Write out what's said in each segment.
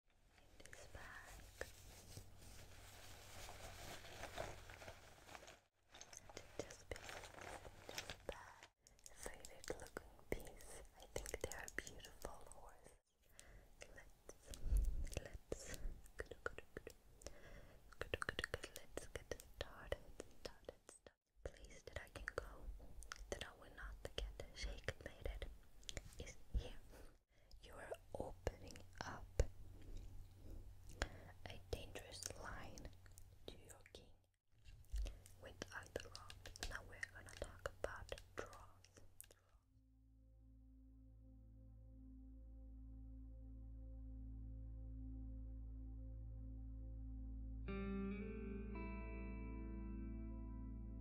this back and just this back so looking piece. I think they are beautiful Let's let's Let's get started. Started. started. Place that I can go that I will not get shaken. Made it is here. You are opening up a dangerous line to your king with either rod. Now we're gonna talk about draws.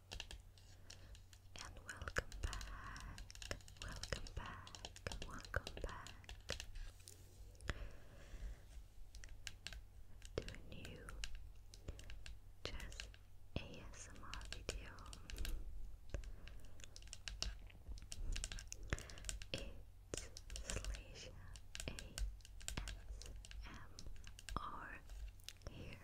And welcome back, welcome back, welcome back to a new just ASMR video. It's Slash here.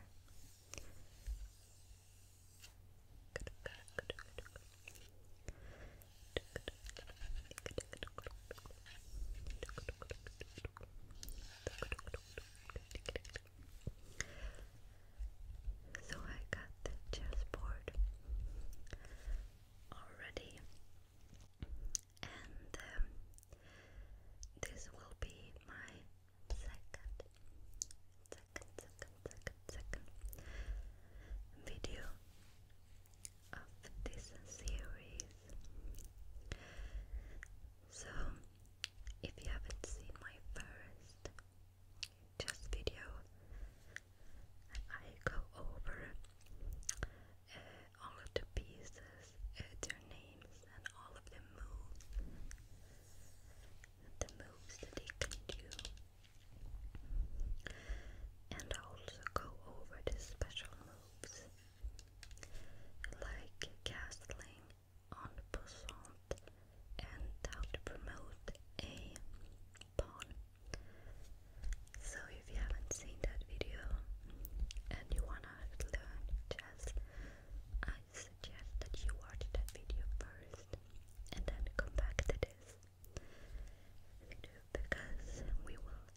So I got the chessboard already, and um, this will be my second, second, second, second, second video of this series. So, if you haven't seen my first just video, I go over uh, all of the pieces, uh, their names, and all of the moves the moves that they can do and also go over the special moves like castling on passant and how to promote a pawn. So if you haven't seen that video and you wanna learn chess, suggest that you watch that video first and then come back to this because we will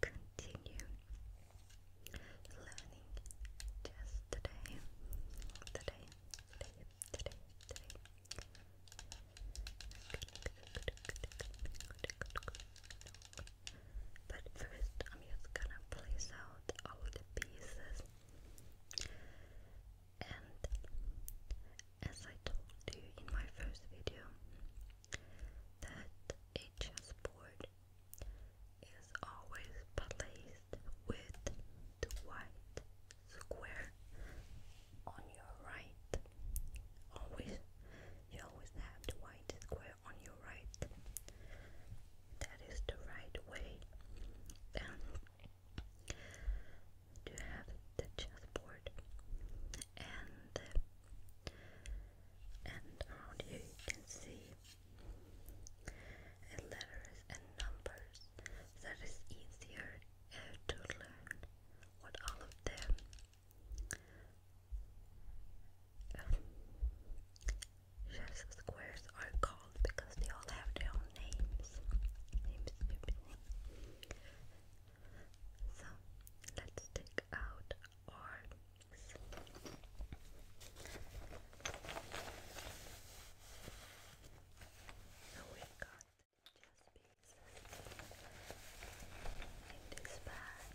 continue learning just today, today, today, today, today. But first, I'm just gonna place out all the pieces. And as I told you in my first video, that a chessboard is always placed with the white square on your right. Always, you always have the white square on your right. That is the right way. Then have the chessboard and and around here you can see letters and numbers that is easier to learn what all of them Chef's squares are called because they all have their own names. So let's take out our. So we've got just pieces in this bag.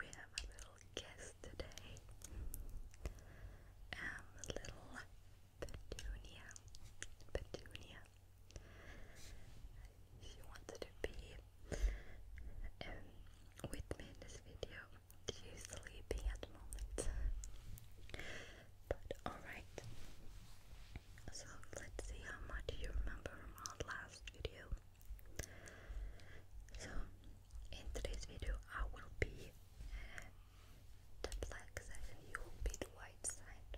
We have a little guest today. Um, little Petunia. Petunia. She wants to be um, with me in this video. She's sleeping at the moment. But alright. So let's see how much you remember from last so, in today's video, I will be uh, the black side you will be the white side.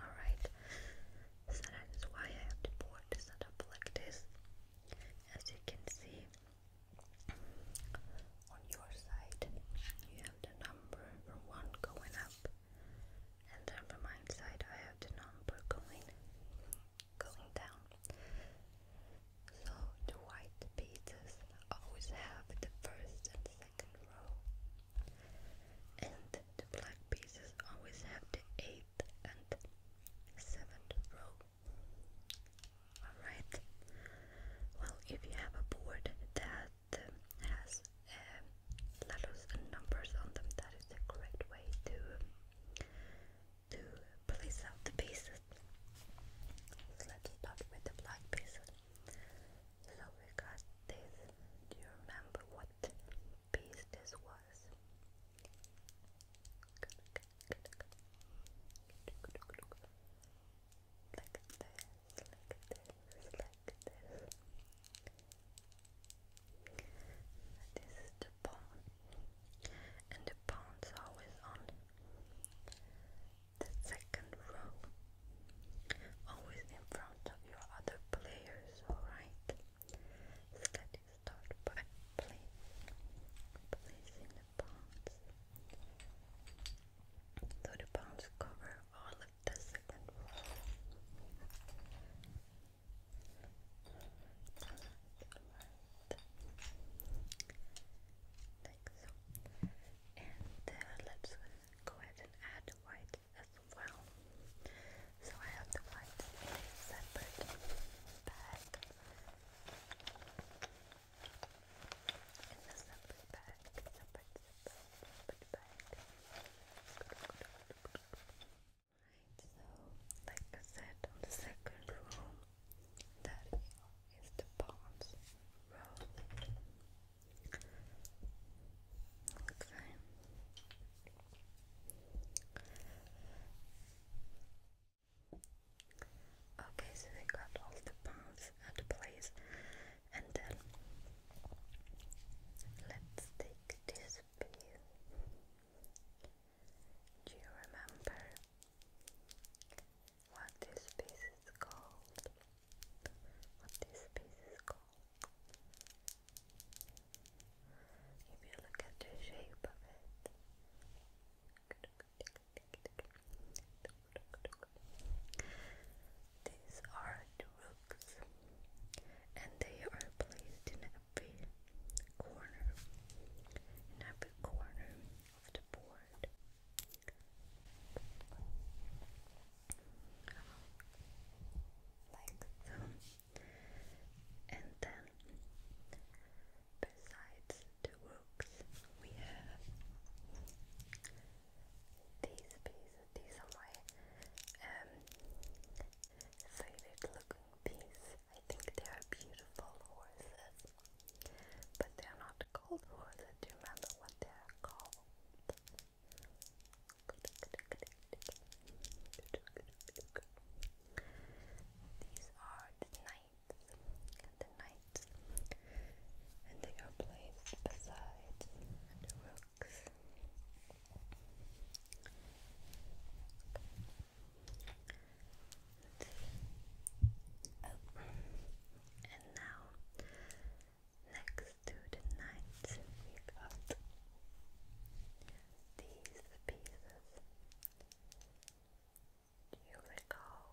Alright, so that is why I have the board set up like this. As you can see, on your side, you have the number 1 going up and from my side I have the number going going down. So the white pieces always have the first and second row. And the black pieces always have the eighth and seventh row. Alright. Well if you have a board that uh, has um, letters and numbers on them. That is a great way to um, to place out the pieces. let's start with the black pieces. So we got this. Do you remember what piece this was? Like this, like this, like this. This is the pawn, and the pawn's always on the second row, always in front of your other players, alright? let's start by placing the pawns. So the pawns cover all of the second row like so. And uh, let's go ahead and add white as well. So I have the white in a separate bag. In a separate bag so like I said the second room, that is the bonds Okay. Okay, so we got all the pawns at place, and then let's take this do you remember what this piece is called? What this piece is called? If you look at the shape of it, these are the books, and they are placed in every corner, in every corner of the board. Like so, and then besides the books, we have these pieces. These are my um, faded looking piece. I think they are beautiful horses, but they are not called horses. Do you remember what they are called? These are the knights, the knights, and they are placed beside the road box. and now next to the knights, we got these pieces. Do you recall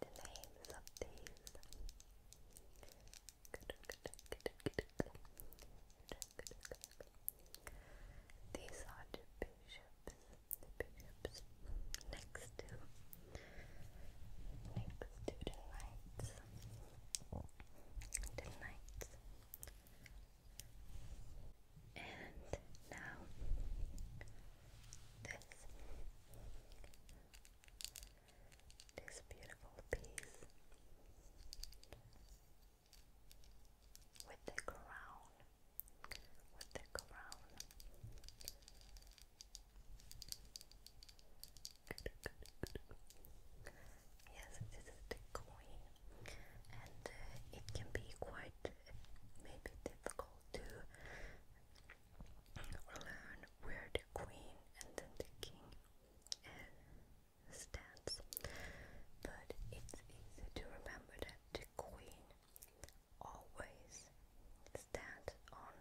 the names of these? These are the bishops, the bishops next to next to the knights. The knights. And now this this beautiful piece with the crown, with the crown. Good, good, good. Yes, this is the coin, and uh, it can be quite maybe difficult to learn where the queen and then the king uh, stands, but it's easy to remember that the queen always stands on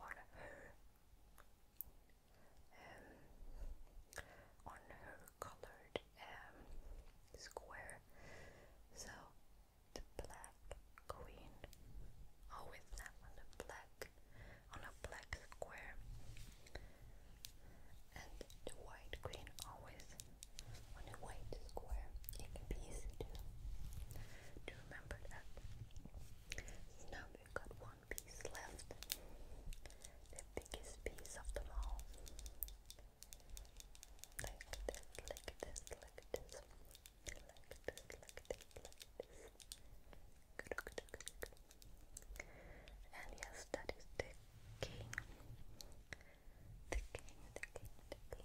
on her um, on her colored um, square. So the black queen always stand on the black on a black square. And the white queen always on a white square. It can be easy to, to remember that. now we've got one piece left. The biggest piece of them all. Like this, like this, like this. Like this, like this, like this. And yes, that is the king. The king, the king, the king.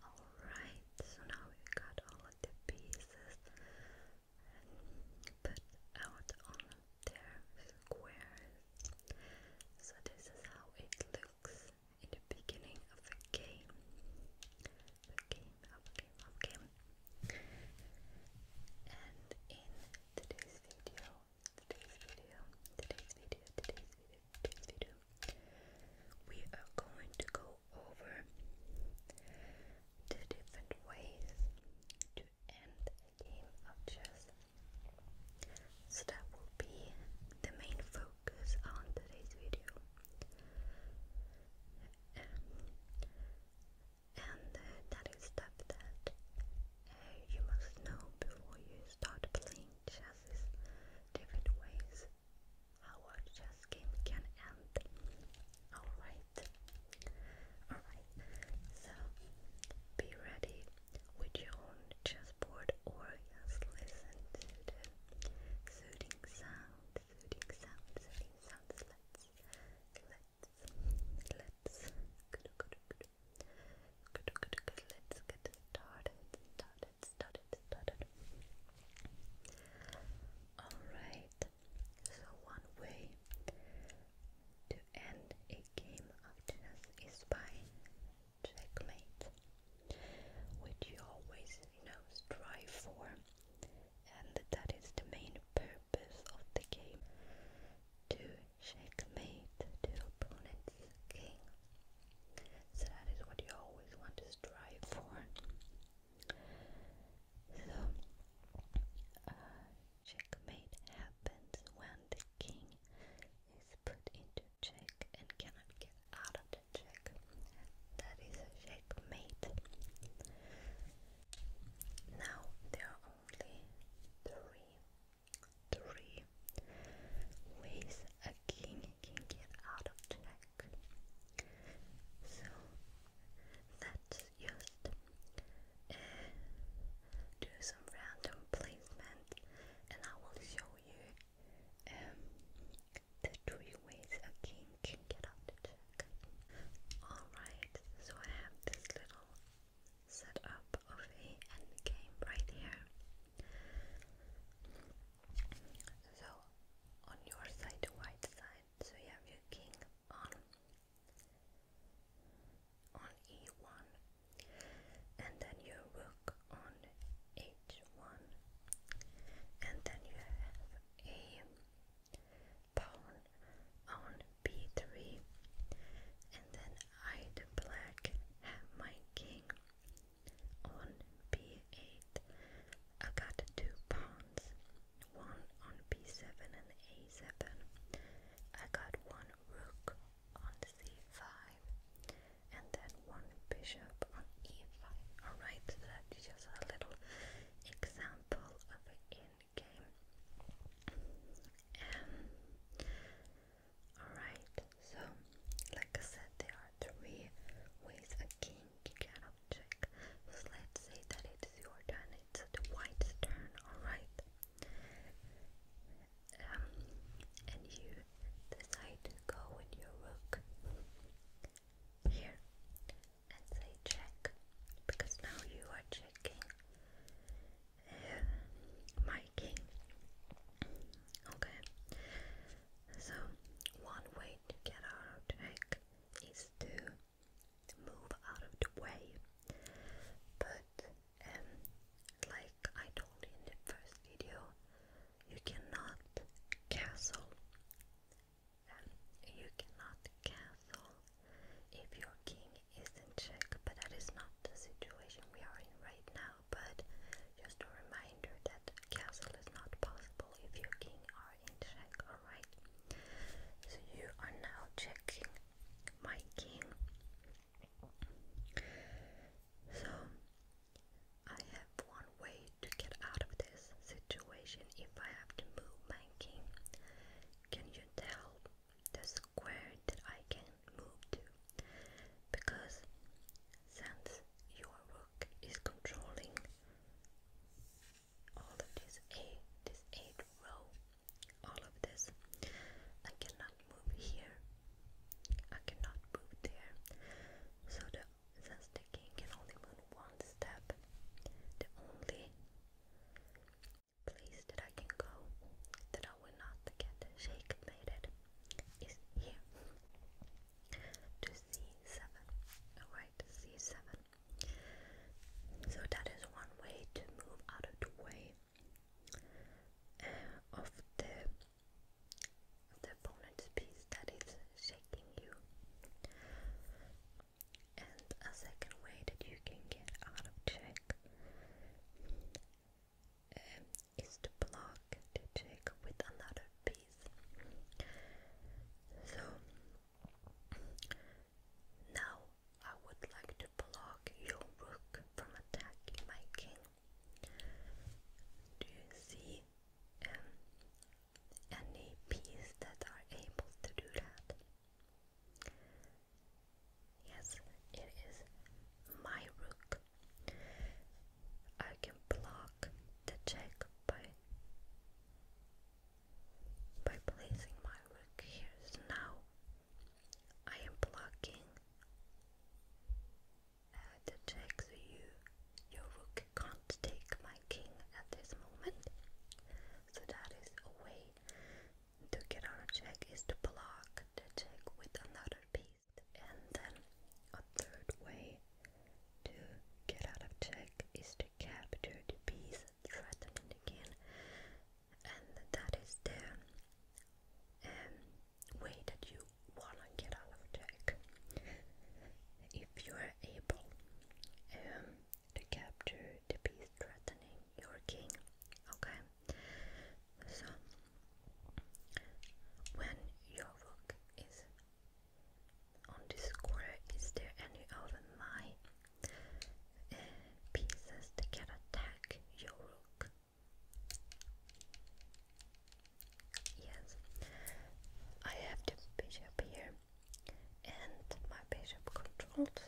Alright, so now we got all of the pieces put out on their squares. So this is how it looks in the beginning of a game. A game, of game, of game. And in today's video, today's video, today's video, today's video, today's video, we are going to go over the different ways to end a game of chess. So that will be the main focus on today's video and uh, that is stuff that uh, you must know before you start playing chess different ways how a chess game can end. Alright. Alright. So be ready with your own chessboard or just listen to soothing sound, soothing sound, soothing sounds let's, let's, let's, good, good, good. Good, good, good. Let's get started, started, started, started. Alright, so one way to end a game of chess is by checkmate, which you always, you know, strive for and that is the main purpose of the game to checkmate the opponent's king. So that is what you always want to strive for. So, uh, checkmate happens when the king is put into check and cannot get out of the check that is a checkmate. Now there are only three, three ways a king can get out of check. So let's just uh, do some random placement, and I will show you um, the two ways a king can get out Alright, so I have this little setup of the end game right here. So on your side, white side, so you have your king on on e1 and then your rook on h1 and then you have a pawn on b3, and then I, do black, have my king on b8. I got two pawns, one on b7 and a7. I got one rook on c5, and then one bishop on e5. Alright, that's just a little example of an in-game. Um, alright, so like I said, there are three ways a king can object. So let's say that it's your turn, it's the white's turn, alright? Um, and you decide to go with your rook here and say check because now you are checking uh, Okay, so one way to get out of check is to move out of the way, but um, like I told you in the first video, you cannot castle you cannot cancel if your king is in check, but that is not the situation we are in right now. But just a reminder that castle is not possible if your king are in check, alright? So you are now checking my king. So I have one way to get out of this situation if I have to move my king. Can you tell the square that I can move to? Because since your rook is controlling all of this eight, row, all of this, I cannot move here. I cannot move there. So the since the king can only move one step, the only place that I can go that I will not get shake-mated it is here to c7, alright, c7 so that is one way to move out of the way uh, of the opponent's piece that is shaking you. And a second way that you can get out of check um, is to block the check with another piece. So now I would like to block your rook from attacking my king. Do you see um, any piece that are able to do that. Yes, it is my rook. I can block the check by by placing my rook here. So now I am blocking uh, the check, so you your rook can't take my king at this moment. So that is a way to get out of check is to block the check with another piece. And then a third way to get out of check is to capture the piece threatened again. And that is the um, way that you wanna get out of check. If you're were able um, to capture the beast threatening your king. Okay, so when your rook is on the square, is there any of my uh, pieces that can attack your rook? Yes, I have the bishop here, and my bishop controlled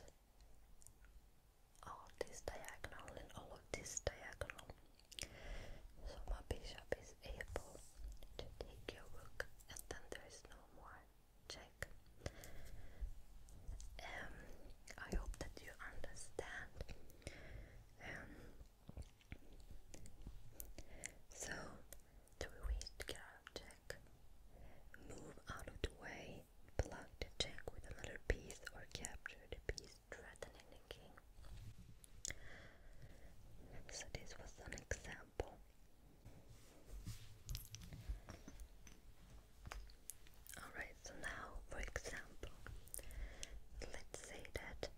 all this diagonal and all of this diagonal. So my bishop is able to take your rook and then there is no more check. Um, I hope that you understand. Um, so three ways to get out check. Move out of the way, block the check with another piece, or capture the piece threatening the king. So, this was an example. Alright, so now, for example, let's say that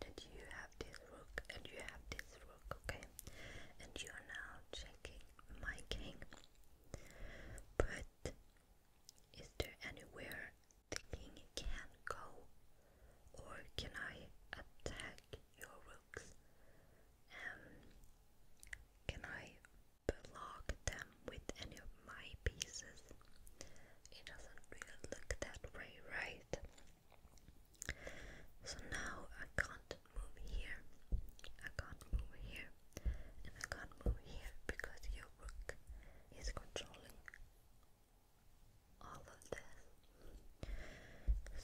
that you have this rook and you have this rook, okay? And you are now checking my king. But is there anywhere the king can go? Or can I attack your rooks? Um, can I block them with any of my pieces? It doesn't really look that way, right? So now I can't move here, I can't move here, and I can't move here because your rook is controlling all of this.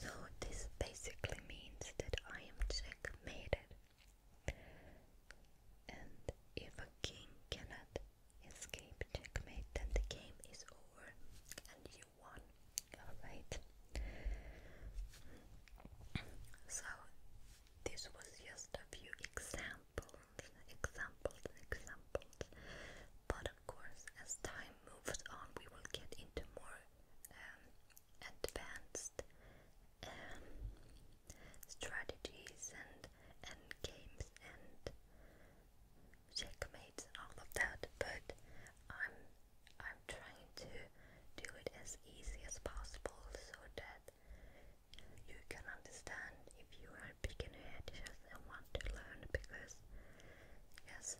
So this basically means that I am checkmated. And if a king cannot escape checkmate, then the game is over and you one. Alright. So this was just a few examples, examples, examples. But of course, as time moves on, we will get into more um, advanced um, strategies and and games and checkmates and all of that, but I'm I'm trying to do it as easy as possible so that you can understand if you are beginner chess and want to learn because yes,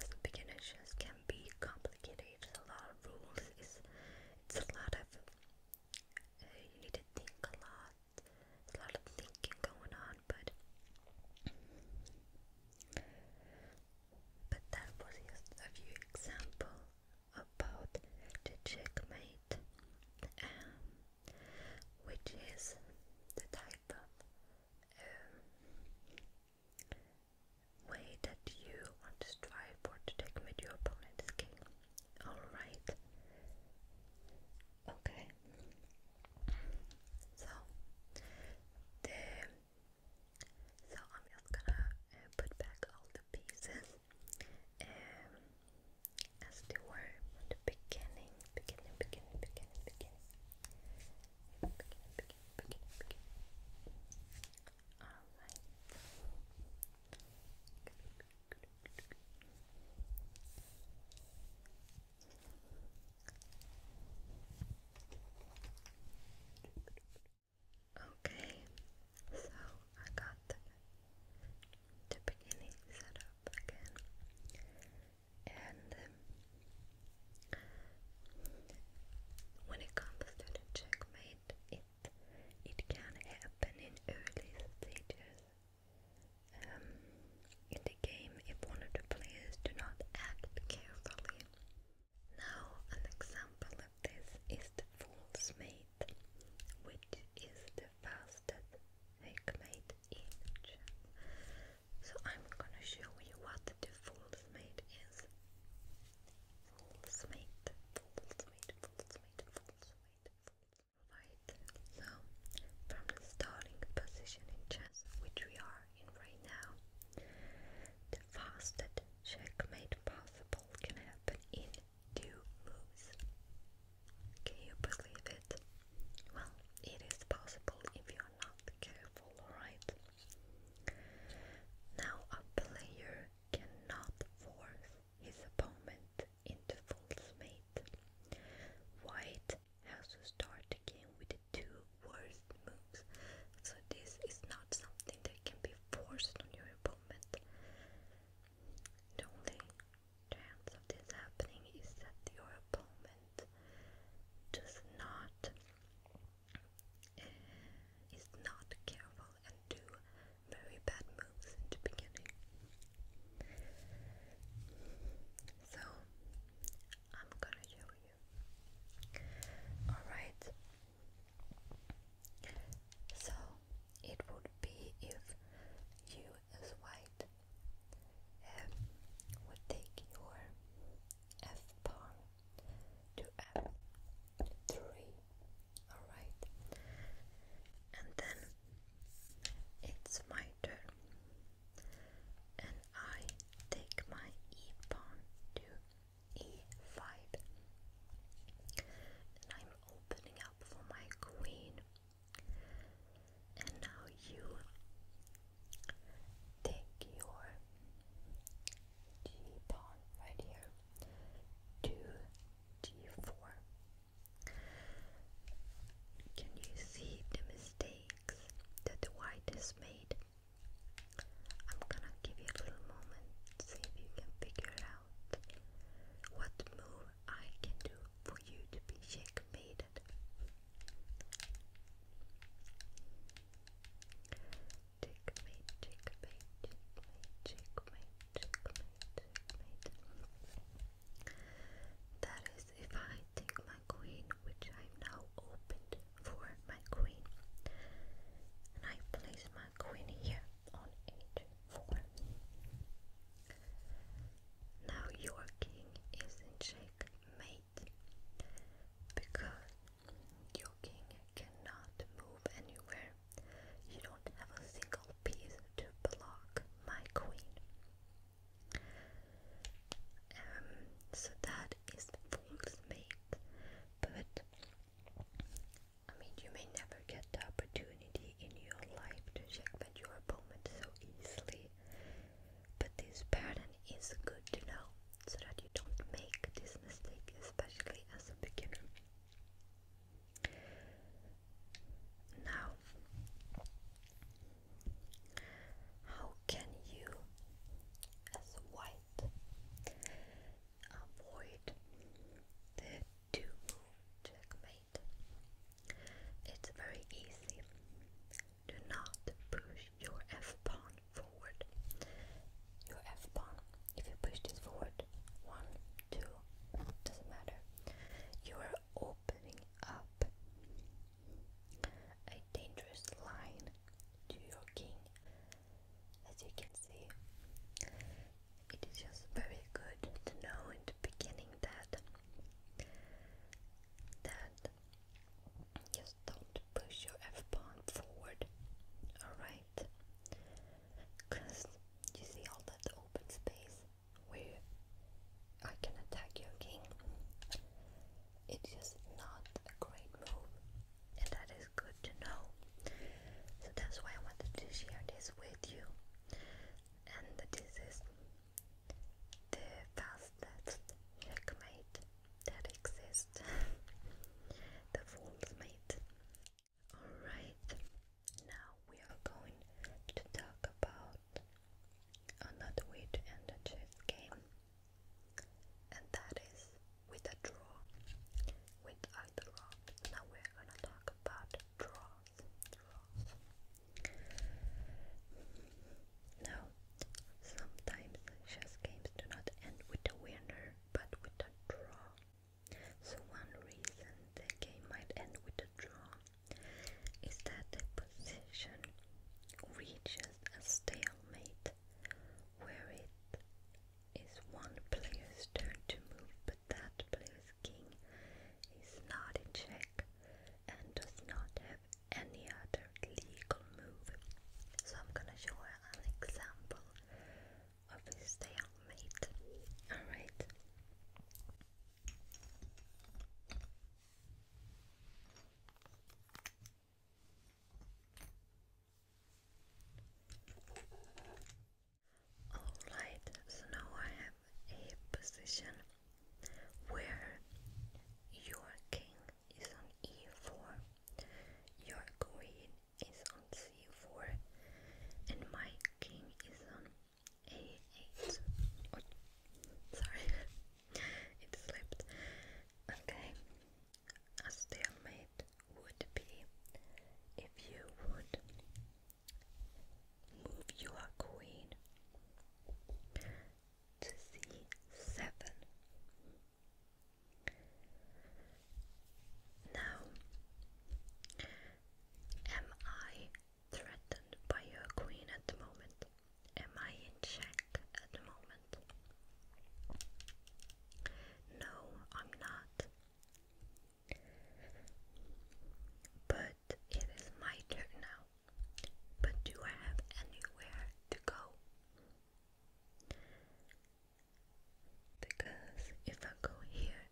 as beginner chess can be complicated. It's a lot of rules. Uh, it's it's a lot of you need to think a lot. There's a lot of thinking going on but but that was just a few example about the checkmate, um, which is the type of um, way that you want to strive for to checkmate your opponent's king. All right. Okay. So, the, so I'm just gonna uh, put back all the pieces um, as they were at the beginning, beginning, beginning, beginning, beginning, beginning, beginning, beginning. All right. Okay, so I got the, beginning set up again, and um, when it comes to the checkmate, it it can happen in early stages um, in the game, if one of the players do not act carefully. Now, an example of this is the Fool's Mate, which is the fastest Hikmate in Gem. So I'm gonna show you what the Fool's Mate is. Fool's Mate, Fool's Mate, Fool's Mate, Fool's Mate, Fool's Mate. so from the starting position in Chess, matches which we are in right now, the fastest checkmate possible can happen in two moves. Can you believe it? Well, it is possible if you are not careful, alright? Now a player cannot force his opponent into false mate. White has to start the with the two worst moves. So this is not something that can be forced on your opponent. The only chance of this happening is that your opponent does not eh, is not careful and do very bad moves in the beginning. So I'm gonna show you. Alright. So it would be if you as white um, would take your F bar to F3. Alright. And then it's my turn and I take my e pawn to e5, and I'm opening up for my queen. And now you take your g pawn right here to g4. Can you see the mistake? that the white is made. I'm gonna give you a little moment, see if you can figure out what move I can do for you to be checkmated. Checkmate, checkmate, checkmate, checkmate, checkmate, checkmate. That if I take my queen, which I'm now opened for my queen, and I place my queen here on h4. Now your king is in checkmate because your king cannot move anywhere. You don't have a single piece to block my queen. Um, so that is the fool's mate, but I mean, you may never get the opportunity in your life to check that your opponent so easily, but this pattern is good to know so that you don't make this mistake, especially as a beginner. Now, how can you, as white, avoid the 2 checkmate? It's very easy. Do not push your f pawn forward. Your f pawn, if you push this forward, one, two, doesn't matter. You are opening up a dangerous line to your king. As you can see, it is just very good to know in the beginning that that just don't push your f pawn forward. All right, because you see all that open space where I can attack your king. It is not a great move, and that is good to know. So that's why I wanted to share this with you. And this is the fastest checkmate that exists. the fool's mate. Alright, now we are going to talk about another way to end a chess game, and that is with a draw, with a draw. Now we're gonna talk about draws. draws. Now, sometimes chess games do not end with a winner, but with a draw. So one reason the game might end with a draw is that the position reaches a stalemate where it is one player's turn to move, but that player's king is not in check and does not have any other legal move. So I'm gonna show an example of this stalemate. Alright. Alright, so now I have a position where your king is on e4, your queen is on c4, and my king is on a8. sorry, it slipped. Okay, a stalemate would be if you would move your queen to c7. Now, am I threatened by your queen at the moment? Am I in check at the moment? No, I'm not. But it is my turn now. But do I have anywhere to go? Because if I go here,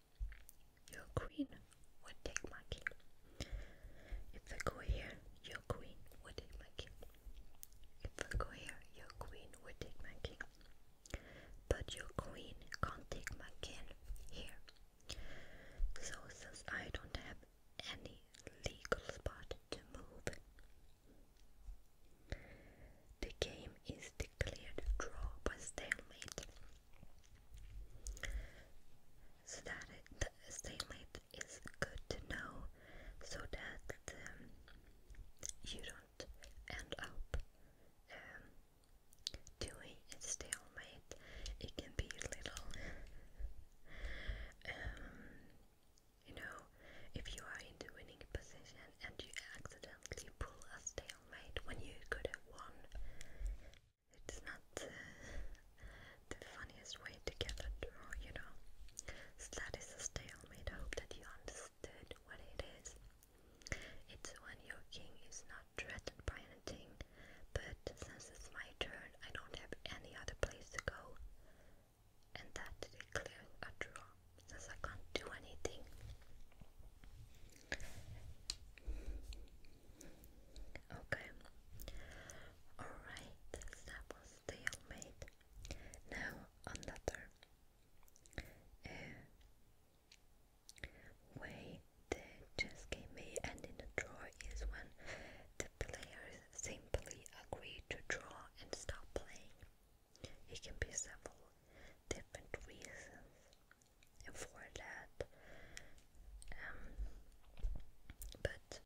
your queen would take my king. If I go here, your queen would take my king. If I go here, your queen would take my king. But your queen can't take my king here. So since I don't have any legal spot to move, the game is declared draw by stalemate so that it, the stalemate is good to know, so that um, you don't end up um, doing a stalemate. It can be a little, um, you know, if you are in the winning position and you accidentally pull a stalemate when you could have won, it's not the funniest way to get a draw, you know. So that is a stalemate. I hope that you understood what it is. It's when your king is not threatened by anything, but since it's my turn, I don't have any other place to go, and that declares a draw since I can't do anything. Okay. Alright, that was stalemate. Now another uh, way the chess game may end in a draw is when the players simply agree to draw and stop playing. It can be several different reasons. for that, um, but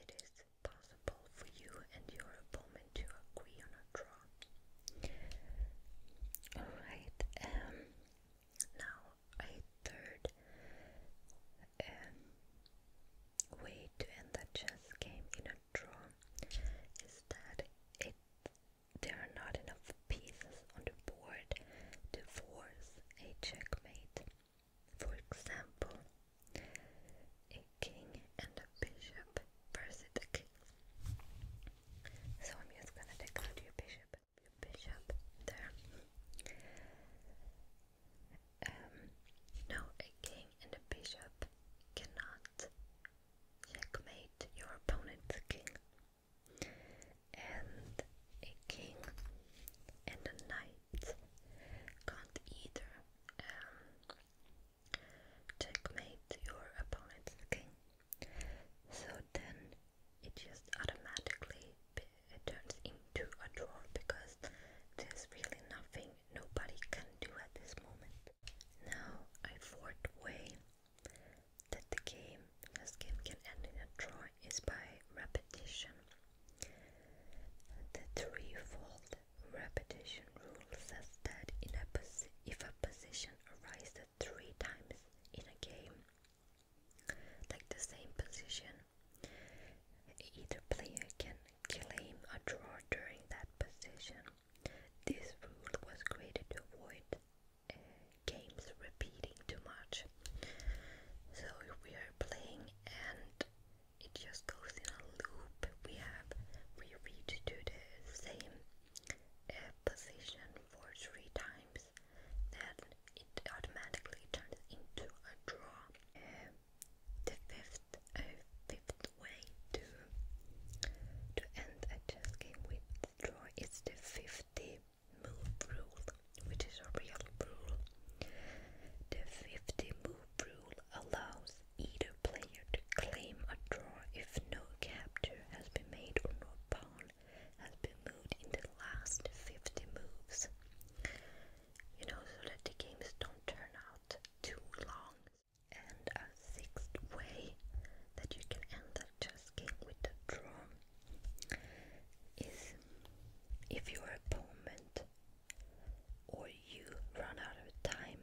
it is possible for you and your opponent to agree on a draw. Alright, um, now a third um, way to end the chess game in a draw is that it there are not enough pieces on the board to force a checkmate. For example, a king and a bishop versus a king. So I'm just gonna take out your bishop, your bishop there. Um, a king and a bishop cannot checkmate your opponent's king and a king and a knight can't either um, checkmate your opponent's king. So then it just automatically it turns into a draw because there's really nothing nobody can do at this moment. Now I fourth way that the game a game can end in a draw is by repetition. The threefold repetition rule says that if a position arises three times in a game, like the same position, either player can claim a draw during that position. This rule was created to avoid uh, games repeating too much. So if we are playing and it just goes in a loop. We have we reach to the same uh, position for three times, then it automatically turns into a draw. Uh, the fifth uh, fifth way to to end a chess game with draw is the fifty move rule, which is a real rule. The 50 move rule allows either player to claim a draw if no capture has been made or no pawn has been moved in the last 50 moves. You know, so that the games don't turn out too long. And a sixth way that you can end that chess game with a draw is if your opponent or you run out of time,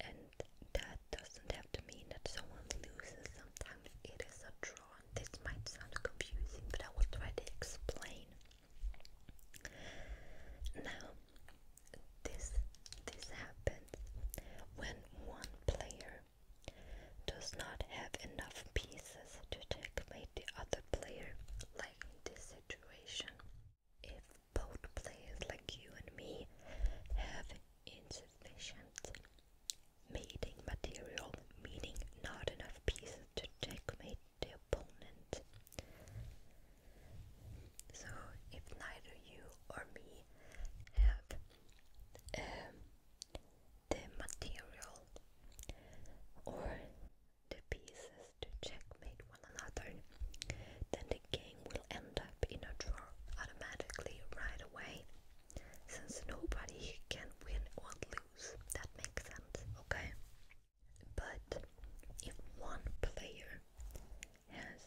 and that doesn't have to mean that someone loses. Sometimes it is a draw. This might sound confusing, but I will try to explain. Now, this this happens when one player does not have enough pieces to checkmate the other player, like in this situation. If both players, like you and me, have insufficient mating material, meaning not enough pieces to checkmate the opponent. So, if neither you or me have um, the material or the pieces to checkmate one another, then the game will end up in a draw automatically right away, since nobody can win or lose. That makes sense, okay? But if one player has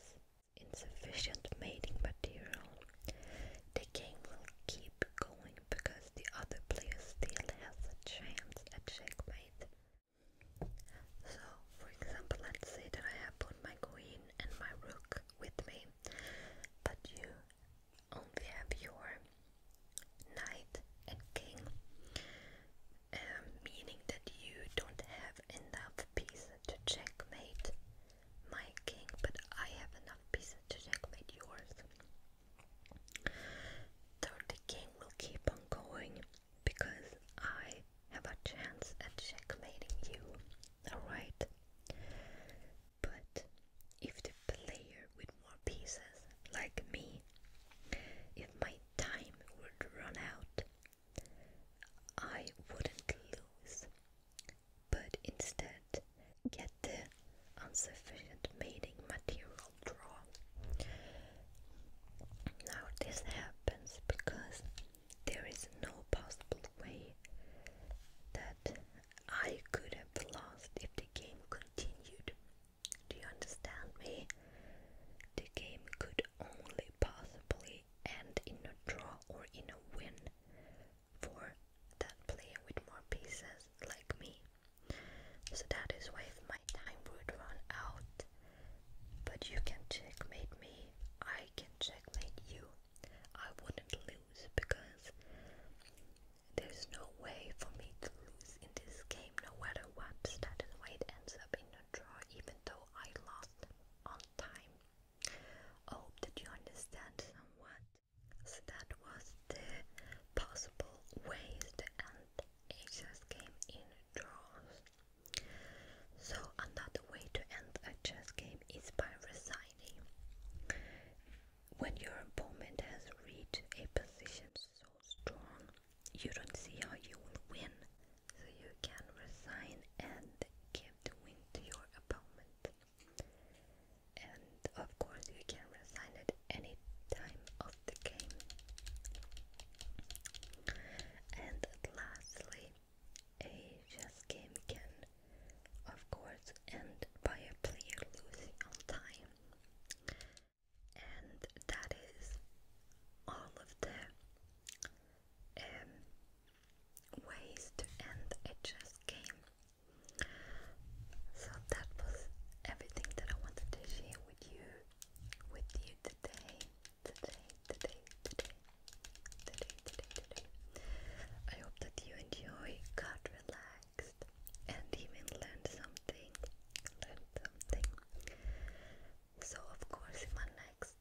insufficient mating material, the game will keep going because the other player still has a chance at checkmate. So, for example, let's say that I have put my queen and my rook with me, but you only have your knight and king, um, meaning that you don't have enough pieces to checkmate my king, but I have enough pieces to checkmate yours. the king will keep on going because I have a chance at checkmating you, alright? But if the player with more pieces, like me, if my time would run out, I wouldn't lose but instead get the insufficient mating material draw. Now this happens because there is no possible way that I could have lost if the game continued. Do you understand me? The game could only possibly end in a draw or in a win, for that player with more pieces like me. So that is why my time would run out, but you can checkmate me, I can checkmate you. I wouldn't lose because there's no way for me to lose in this game no matter what. That is why it ends up in a draw even though I lost on time. hope that you understand somewhat. So that was the possible ways to end a chess game in draws. So another way to end a chess game is by resigning. When your opponent has reached a position so strong, you don't see how you will win, so you can resign and give the win to your opponent and of course you can resign at any time of the game and lastly a chess game can of course end by a player losing all time and that is all of the um, ways to end a chess game so that was everything that I wanted to share with you with you today. Today, today, today, today, today, today. I hope that you enjoy, got relaxed, and even learned something. Learned something. So of course in my next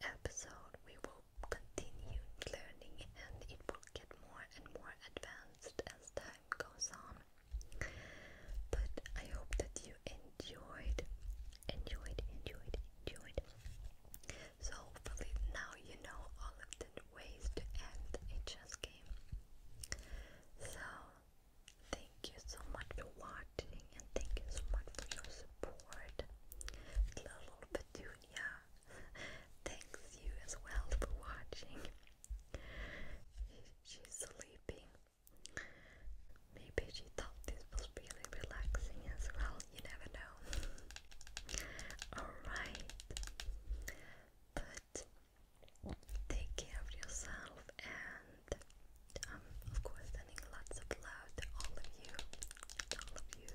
episode we will continued learning and it will get more and more advanced as time goes on. But I hope that you enjoyed, enjoyed, enjoyed, enjoyed. So hopefully now you know all of the ways to end a chess game. So thank you so much for watching and thank you so much for your support. Little Petunia Thanks you as well for watching. She's sleeping. Maybe she thought this was really relaxing as well. You never know. Alright. But take care of yourself and um, of course sending lots of love to all of you. All of you.